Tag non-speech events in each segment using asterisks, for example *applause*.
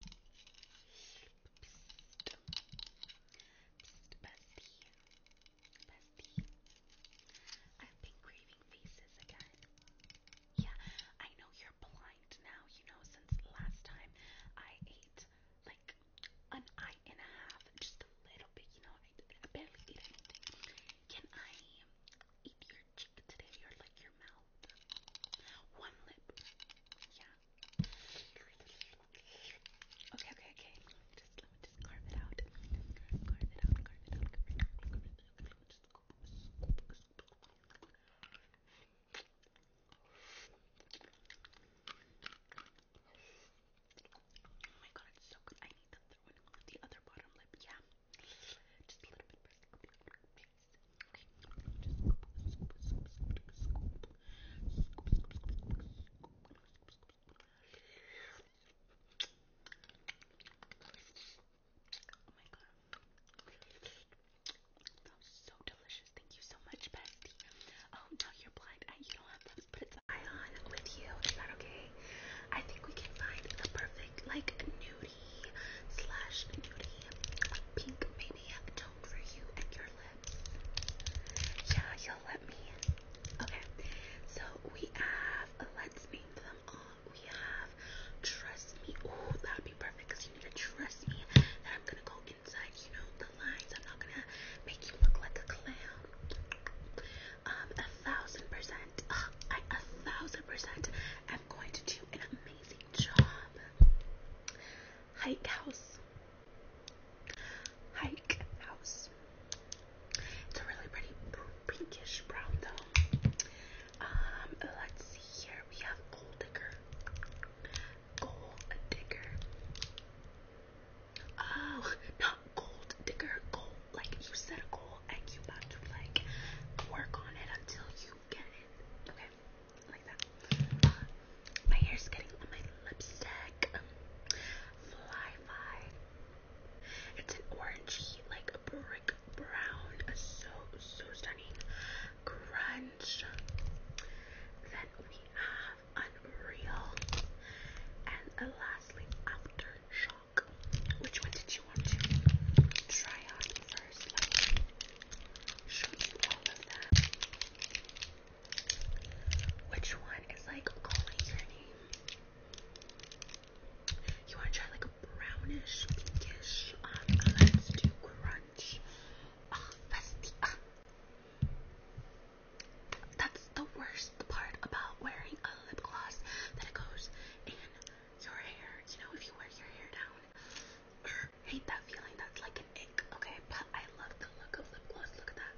bestie. Bestie. I've been craving faces again. Yeah, I know you're blind now, you know, since last time I ate like an eye and a half, just a little bit, you know, I, I barely ate anything. Can I eat your cheek today or like your mouth? One lip. Yeah, Okay, okay, okay. Just let me just carve it out. Carve, carve it out, carve it out, carve it out, carve it out. Let me just scoop, scoop, scoop. Oh my god, it's so good. I need the other one. The other bottom lip, yeah. Just a little bit. Maybe Oh my god. That was so delicious. Thank you so much, Bestie. Oh, um, no, you're blind. I, you don't have to put it on with you. Is that okay? I think we can find the perfect, like, nude let us uh, name them all. We have trust me. Ooh, that'd be perfect because you need to trust me that I'm gonna go inside, you know, the lines. I'm not gonna make you look like a clown. Um, a thousand percent. I a thousand percent am going to do an amazing job. Hike House. Hike House. It's a really pretty pinkish brown though. Um, let's see here. We have Gold Digger. Gold Digger. Oh, not Gold Digger. Gold, like you set a goal and you about to like work on it until you get it. Okay hair like that. My hair's getting on my lipstick. Fly Fi. It's an orangey, like a brick brown. So, so stunning. Crunch. Then we have Unreal. And uh, lastly, Aftershock. Which one did you want to try on first you Which one is like calling your name? You want to try like a brownish, um, let's do crunch. Ah, ah. That's the worst part about wearing a lip gloss that it goes in your hair. You know, if you wear your hair down, er, hate that feeling. That's like an ick. Okay, but I love the look of lip gloss. Look at that.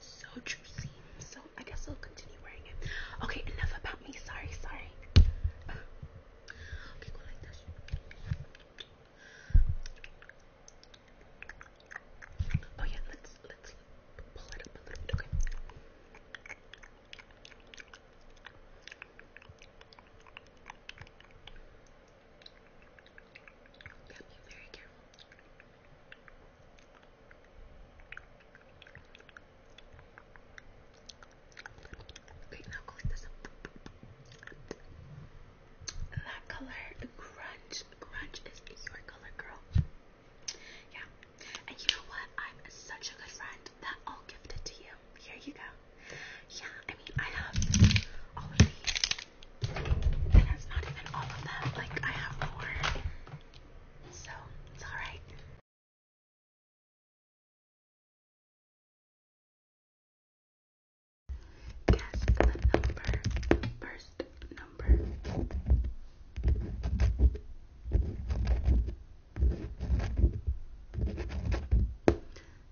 So juicy. So I guess I'll continue wearing it. Okay, enough about me. Sorry, sorry. Oh yeah, let's let's pull it up a little bit. Okay. Yeah, be very careful. Okay, now go like this. That color, grunge, grunge is your color, girl. Yeah, and you know what? I'm such a good friend that I'll gift it to you. Here you go yeah, I mean, I have all of these, and it's not even all of them, like, I have more, so it's alright. Guess the number, first number. Guess the number.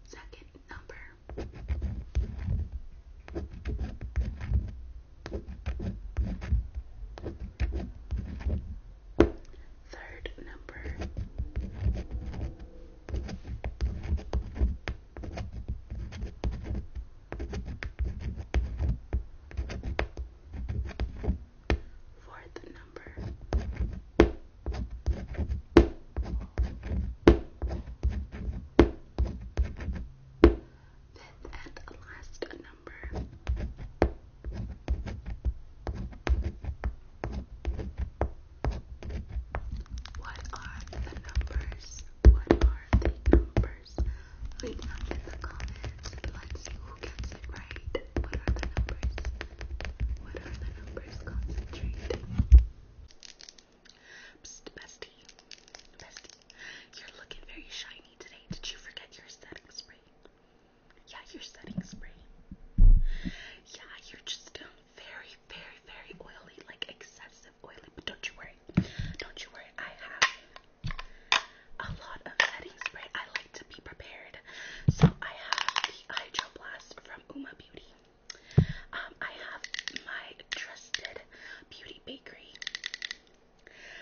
Second number. Third number for the number. Fifth and last number. What are the numbers? What are the numbers? Leave them in the comments. Let's see who gets it right. What are the numbers? What are the numbers? Concentrate. bestie. Bestie. You're looking very shiny today. Did you forget your setting spray? Yeah, your setting spray. Yeah, you're just um, very, very, very oily, like excessive oily. But don't you worry. Don't you worry. I have a lot of setting setting I like to be prepared. So I have the Hydroblast from Uma Beauty. Um, I have my trusted beauty bakery.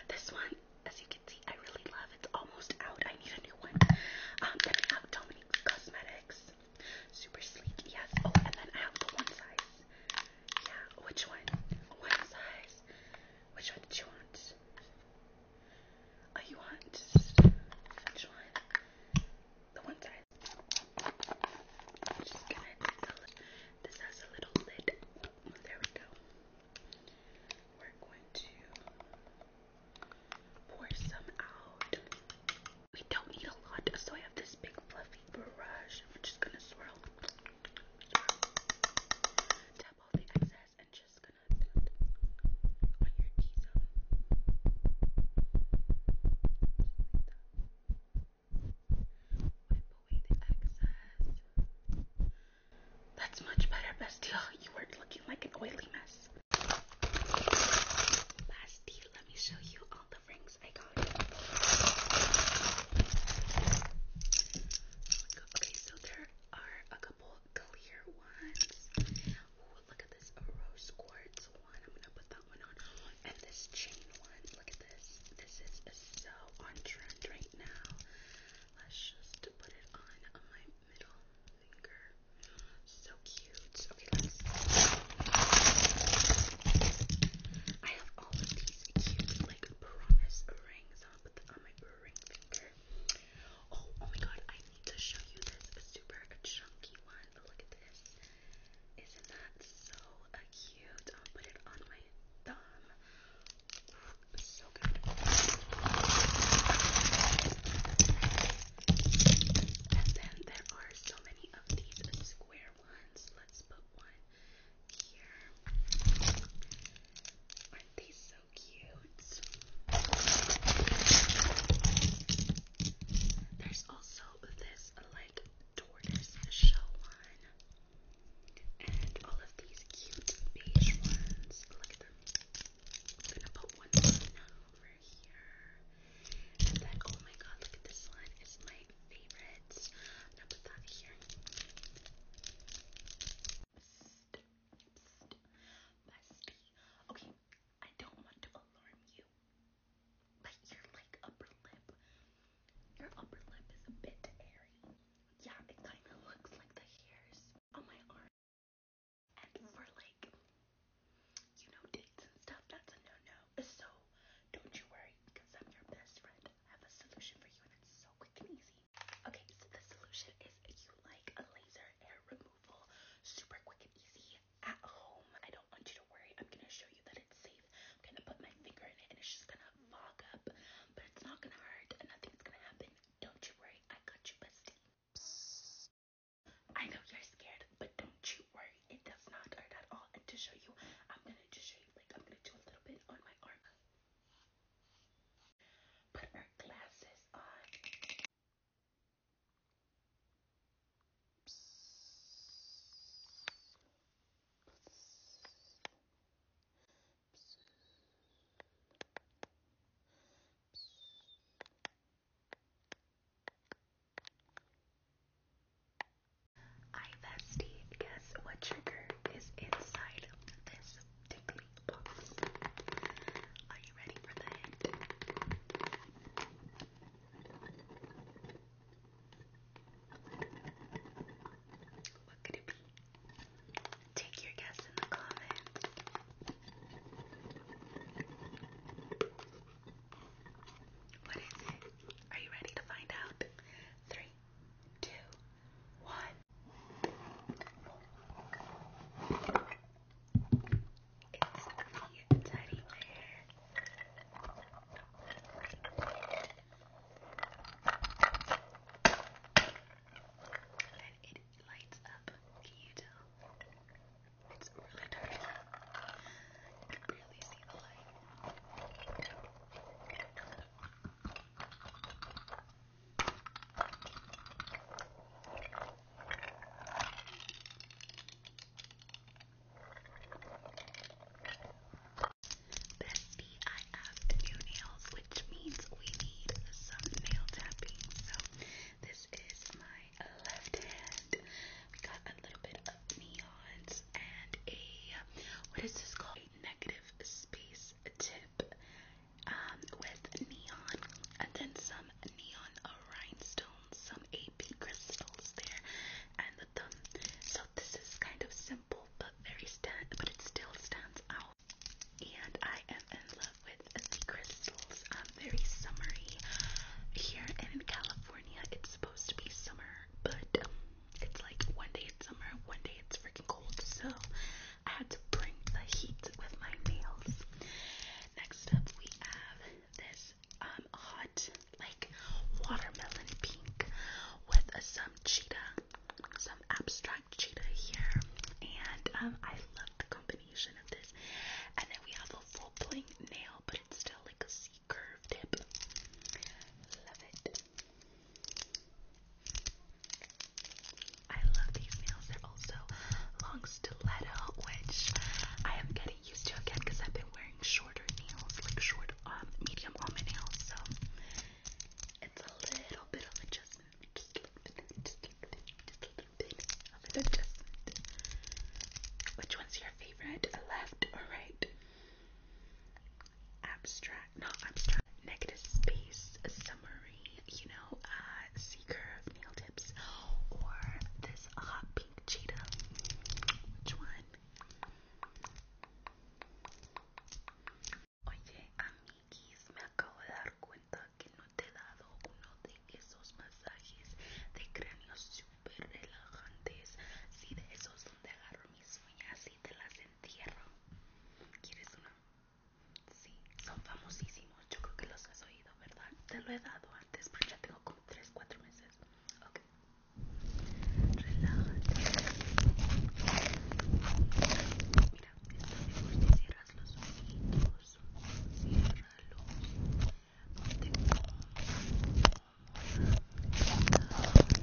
This one, as you can see, I really love. It's almost out. I need a new one. Um, then I have Dominique's Cosmetics. Super sleek, yes. Oh, and then I have the one size. Yeah, which one? One size. Which one did you want? Oh, you want which one? The one side. just gonna take the lid. This has a little lid. There we go. We're going to pour some out. We don't need a lot, so I have this big fluffy brush. We're just gonna swirl. Tap all the excess. That's much better, Bastille. *laughs* You were looking like an oily mess. Bastille, let me show you all the rings I got. Okay, so there are a couple couple clear ones. Ooh, look at this rose quartz one. I'm gonna put that one on. And this chain one. Look at this. This is so on trend right now. Let's just put it on, on my middle finger. So cute. Okay, let's. I have all of these cute, like promise rings on Oh, oh, my god, I need to show you this super chunky one. But look at this. Isn't that so cute? I'll put it on my thumb. so good. And then there are so many of these square ones. Let's put one here. Aren't these cute. There's also this like tortoise shell one. And all of these cute beige ones. Look at them. I'm gonna put one down over here. And then, oh my god, look at this one. It's my favorite. I'm gonna put that here. Okay, I don't want to alarm you, but your like upper lip, your upper lip is a bit hairy. Yeah, it kind of looks like the hairs on my arm. And for like, you know, dates and stuff, that's a no-no. So don't you worry, because I'm your best friend. I have a solution for you, and it's so quick and easy. Okay, so the solution is you like a laser hair removal, super quick and easy at home. I don't want you to worry. I'm gonna show you that it's safe. I'm gonna put my finger in it and it's just gonna fog up, but it's not gonna hurt and nothing's gonna happen. Don't you worry, I got you, bestie. Psst. I know you're scared, but don't you worry. It does not hurt at all. And to show you, I'm gonna just show you. Like I'm gonna do a little bit on my arm. Put her glasses on. Psst. guess what trigger is inside this tingly box. Are you ready for that? What could it be? Take your guess in the comments. What is it? Are you ready to find out? Three, two, one the teddy bear. And it lights up. Can you tell? It's really dark. You can barely see the light. Bestie, I new nails, which means we need some nail tapping. So this is my left hand. We got a little bit of neons and a what is this called? A negative space tip um, with neon, and then some neon rhinestones, some AP crystals there, and the thumb. So this is kind of simple, but very stand, but it still stands out. And I am in love with the crystals. Um, very summery here, and in California, it's supposed to be summer, but um, it's like one day it's summer, one day it's freaking cold. So I had to bring the heat with my nails. Next up, we have this um, hot like watermelon pink with some cheetah, some abstract cheetah here, and um, I love the combination of this. And then we have a full plain nail, but it's still like a C curve tip. Love it. I love these nails. They're also long stiletto, which I am getting used to again because I've been wearing shorter nails, like short, um, medium on nails. So it's a little bit of adjustment. Which one's your favorite? Left or right? Abstract not abstract. Negative space summary, you know, uh, C nail tips, or this hot pink cheetah. Which one? Oye, amiguis, me acabo de dar cuenta que no te he dado uno de esos masajes de cráneo súper relajantes. Sí, de esos donde agarro mis uñas y te las entierro. ¿Quieres uno? Sí, son famosísimos. Yo creo que los has oído, ¿verdad? Te lo he dado antes, pero ya tengo como 3, 4 meses. Ok. Relájate. Mira, está mejor si cierras los ojitos. Ciérralos. Ponte cómoda. Relaja. Relaja.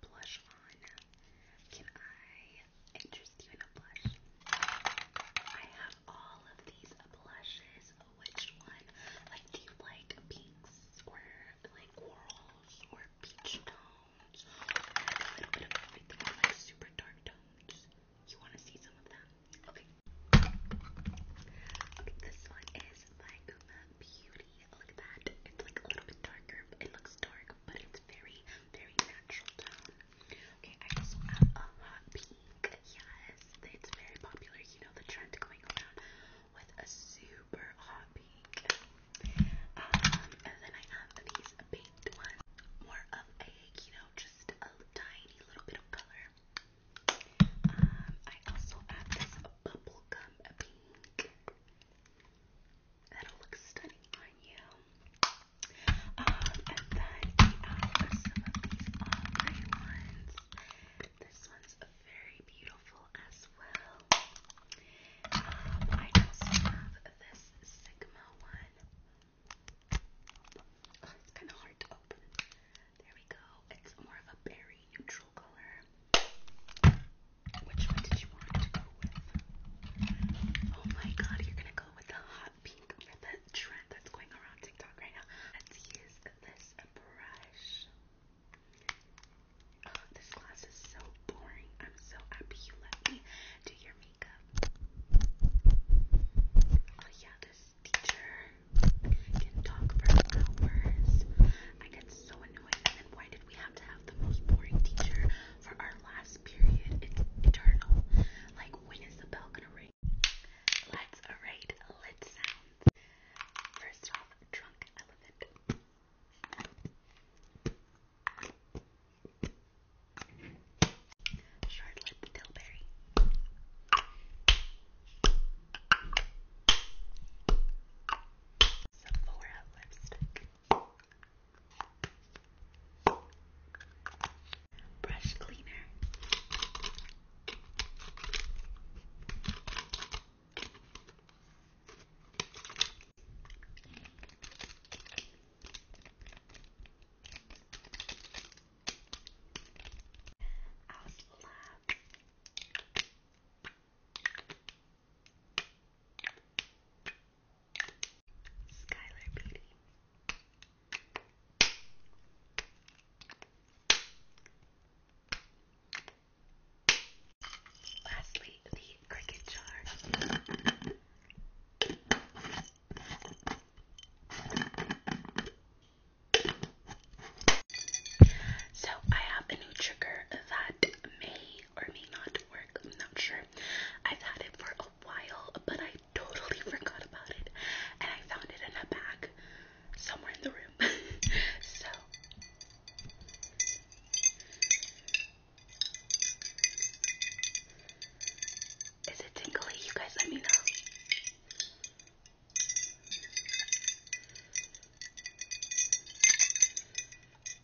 no blush on. Can I interest you in a blush? I have all of these blushes. Which one? Like, do you like pinks or like corals or peach tones? Or a little bit of everything, or like super dark tones. You want to see some of them? Okay. Okay, this one is by Uma Beauty. Look at that. It's like a little bit darker. It looks dark, but it's very, very natural tone. Okay, I also have a hot pink. Yes, it's very popular. You know the trend going around with a super hot pink. Um, and then I have these baked ones, more of a you know just a tiny little bit of color. Um, I also have this bubblegum pink. That'll look stunning on you. Um, and then we have some of these ombre ones. This one's very beautiful as well. Um, I also have this Sigma one. Oh, it's kind of hard to open. There we go. It's more of a berry neutral color. Which one did you want to go with? Oh my god, you're gonna go with the hot pink for the trend that's going around TikTok right now. Let's use this brush. Oh, this class is so boring. I'm so happy you let me do your makeup. Oh yeah, this teacher can talk for hours. I get so annoyed paranoid. And why did we have to have the most boring teacher for our last period? It's eternal. Like, when is the bell gonna ring? Let's array lit sounds. First off, drunk elephant. Charlotte Tilbury. Sephora lipstick brush cleaner. I was Skylar Beauty. Lastly, the cricket jar. So, I have a new trigger that may or may not work. I'm not sure. I've had it for a while, but I totally *laughs* forgot about it, and I found it in a bag somewhere in the room. *laughs* so. Is it tingly? You guys let me know.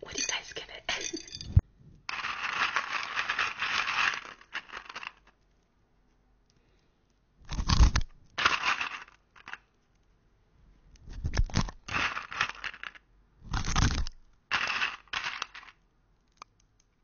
What do you guys give it?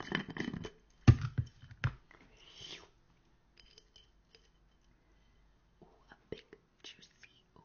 Ooh, a big juicy one.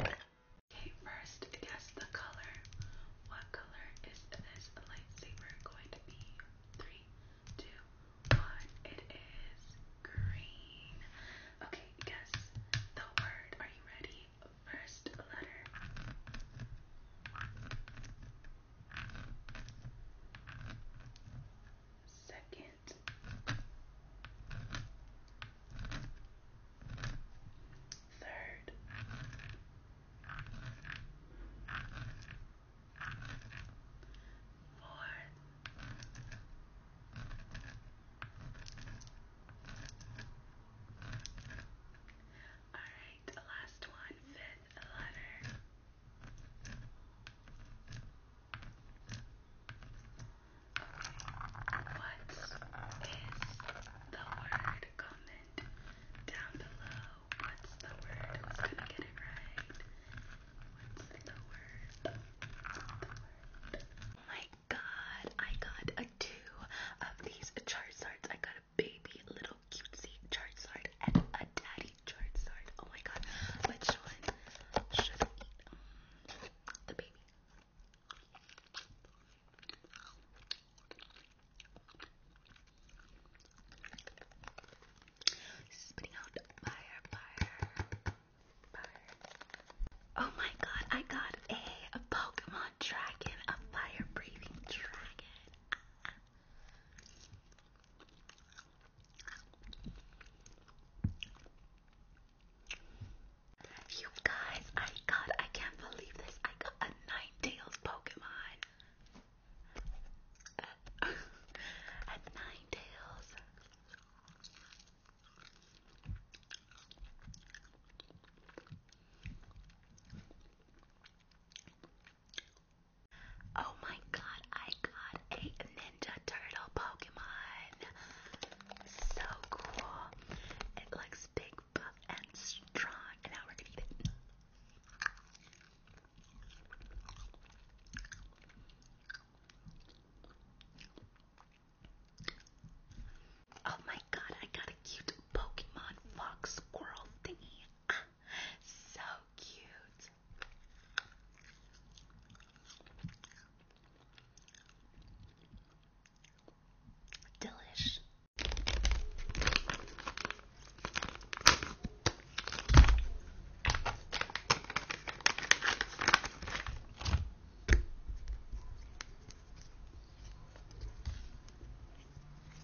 Okay, first, guess the color. What color is this lightsaber going to be? Three, two, one. It is green. Okay, guess the word. Are you ready? First letter. Second, third, fourth. All right, the last one, fifth letter. What is the word? Comment down below. What's the word? Who's gonna get it right? What's the word? Oh my god, I got a two of these Charizards. I got baby little cutesy Charizard and a daddy Charizard. Oh my god, which one should I eat? Um, the baby. Spitting out fire, fire, fire. Oh my god, I got a, a Pokemon dragon, a fire breathing dragon. You guys, I got, I can't believe this. I got a Ninetales Pokemon. Uh, *laughs* a Ninetales. Oh my god, I got a Ninja Turtle Pokemon. So cool. It looks big, buff, and strong. And now we're gonna eat it. Oh my god, I got a cute Pokemon fox squirrel thingy. Ah so cute. Delish.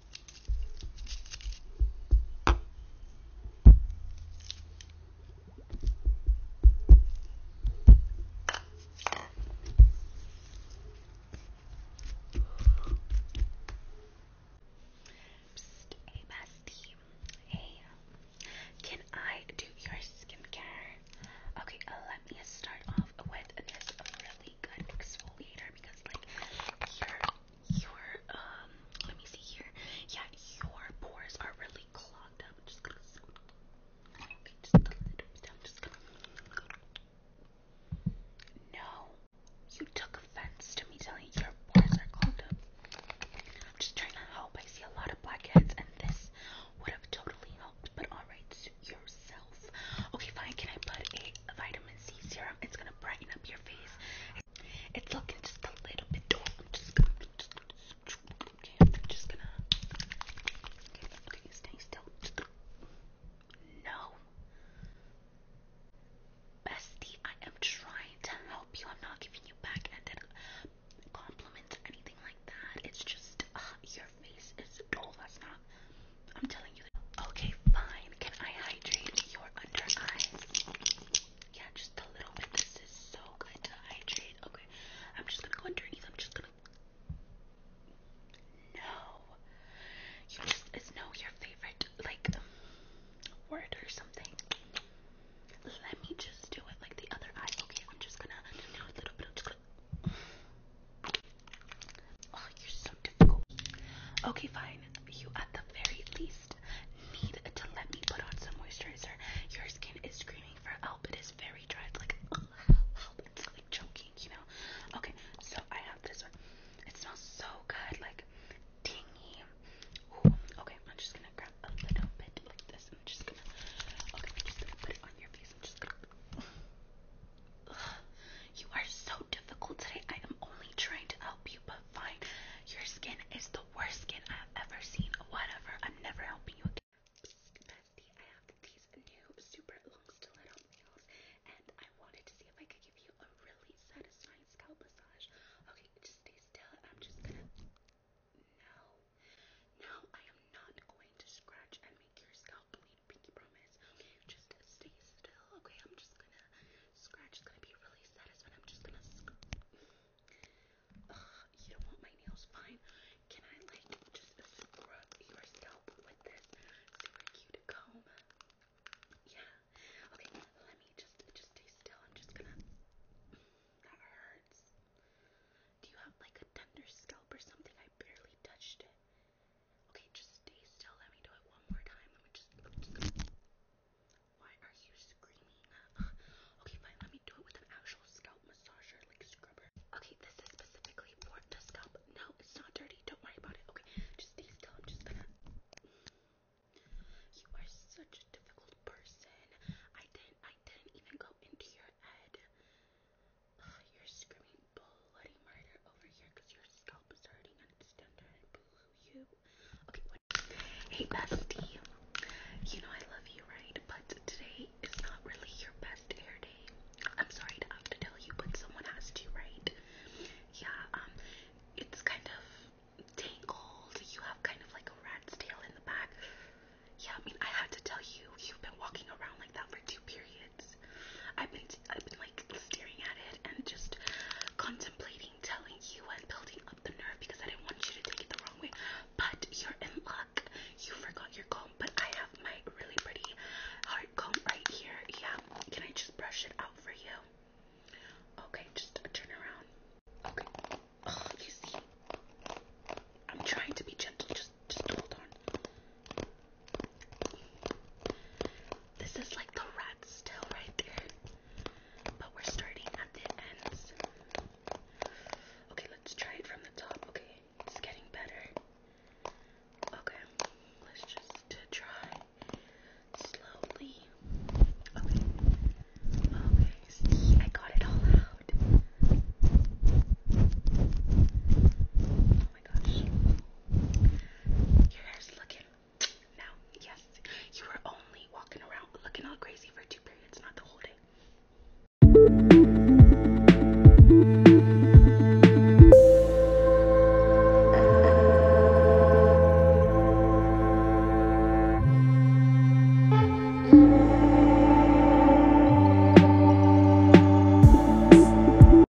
hey bestie. Hey. Can I do your skincare? Okay, uh, let me start off with this really good exfoliator because like your um let me see here. Yeah, your pores are really clogged up. I'm just gonna okay, just a little bit down, just gonna No. You took offense to me telling you your pores are clogged up. I'm just trying to help. I see a lot of blackheads and this would have totally helped, but alright, suit yourself. Okay, fine, can I put a vitamin C serum. It's gonna brighten up your face. It's looking just a little bit dark. I'm just gonna, just gonna, just gonna. Okay, stay still. No, bestie, I am trying to help you. I'm not giving you backhanded compliments or anything like that. It's just uh, your face is dull. Oh, that's not I'm telling you. Okay, fine. Can I hydrate your under eyes? Yeah, just a little bit. This is so good to hydrate. Okay, I'm just gonna go underneath. I'm just gonna. No. You just is no your favorite like um, word or something. Let me just do it like the other eye. Okay, I'm just gonna do a little bit. I'm just gonna. Oh, okay, fine. You at the very least need to let me put on some moisturizer. Your skin is screaming for help. It is very dry. It's like oh, help. It's like choking, you know. Okay, so I have this one. It smells so good, like dingy. okay, I'm just gonna grab a little bit like this. I'm just gonna okay, I'm just gonna put it on your face. I'm just gonna *sighs* you are so difficult today. I am only trying to help you, but fine. Your skin is the worst skin I've ever seen. Whatever. I'm never helping you again. Bestie, I have these new super long stiletto nails, and I wanted to see if I could give you a really satisfying scalp massage. Okay, just stay still. I'm just gonna. No. No, I am not going to scratch and make your scalp bleed. Pinky promise. just stay still. Okay, I'm just gonna Scratch is gonna be really satisfying. I'm just gonna. you don't want my nails? Fine. Can I like just scrub your scalp with this super cute comb? Yeah. Okay. Let me just just stay still. I'm just gonna. That hurts. Do you have like a tender scalp or something? I barely touched it. Okay, just stay still. Let me do it one more time. Let me just. why are you screaming? *gasps* okay, fine. Let me do it with an actual scalp massager, like scrubber. Okay, this is specifically for the scalp. No, it's not dirty. Don't worry about it. Okay, just stay still. I'm just gonna. You are such a difficult person. I didn't. I didn't even go into your head. *sighs* you're screaming Hey, bestie. You know I love you, right? But today is not really your best hair day. I'm sorry to have to tell you, but someone has to, right? Yeah, um, it's kind of tangled. You have kind of like a rat's tail in the back. Yeah, I mean, I had to tell you, you've been walking around like that for two periods. I've been I've been like staring at it and just contemplating telling you and building up the nerve because I didn't want you to take it the wrong way. But you're in luck. You forgot your comb, but I have my really pretty heart comb right here. Yeah. Can I just brush it out for you? Okay, just turn around. Okay. you see. I'm trying to be gentle. Just just hold on. This is like the rat's tail right there. But we're starting at the ends. Okay, let's try it from the top. Okay, it's getting better. Okay, let's just uh, try slowly. Okay. Okay, see, I got it all out. Oh my gosh. Your hair's looking now. Yes, you were only walking around looking all crazy for two periods, not the whole day.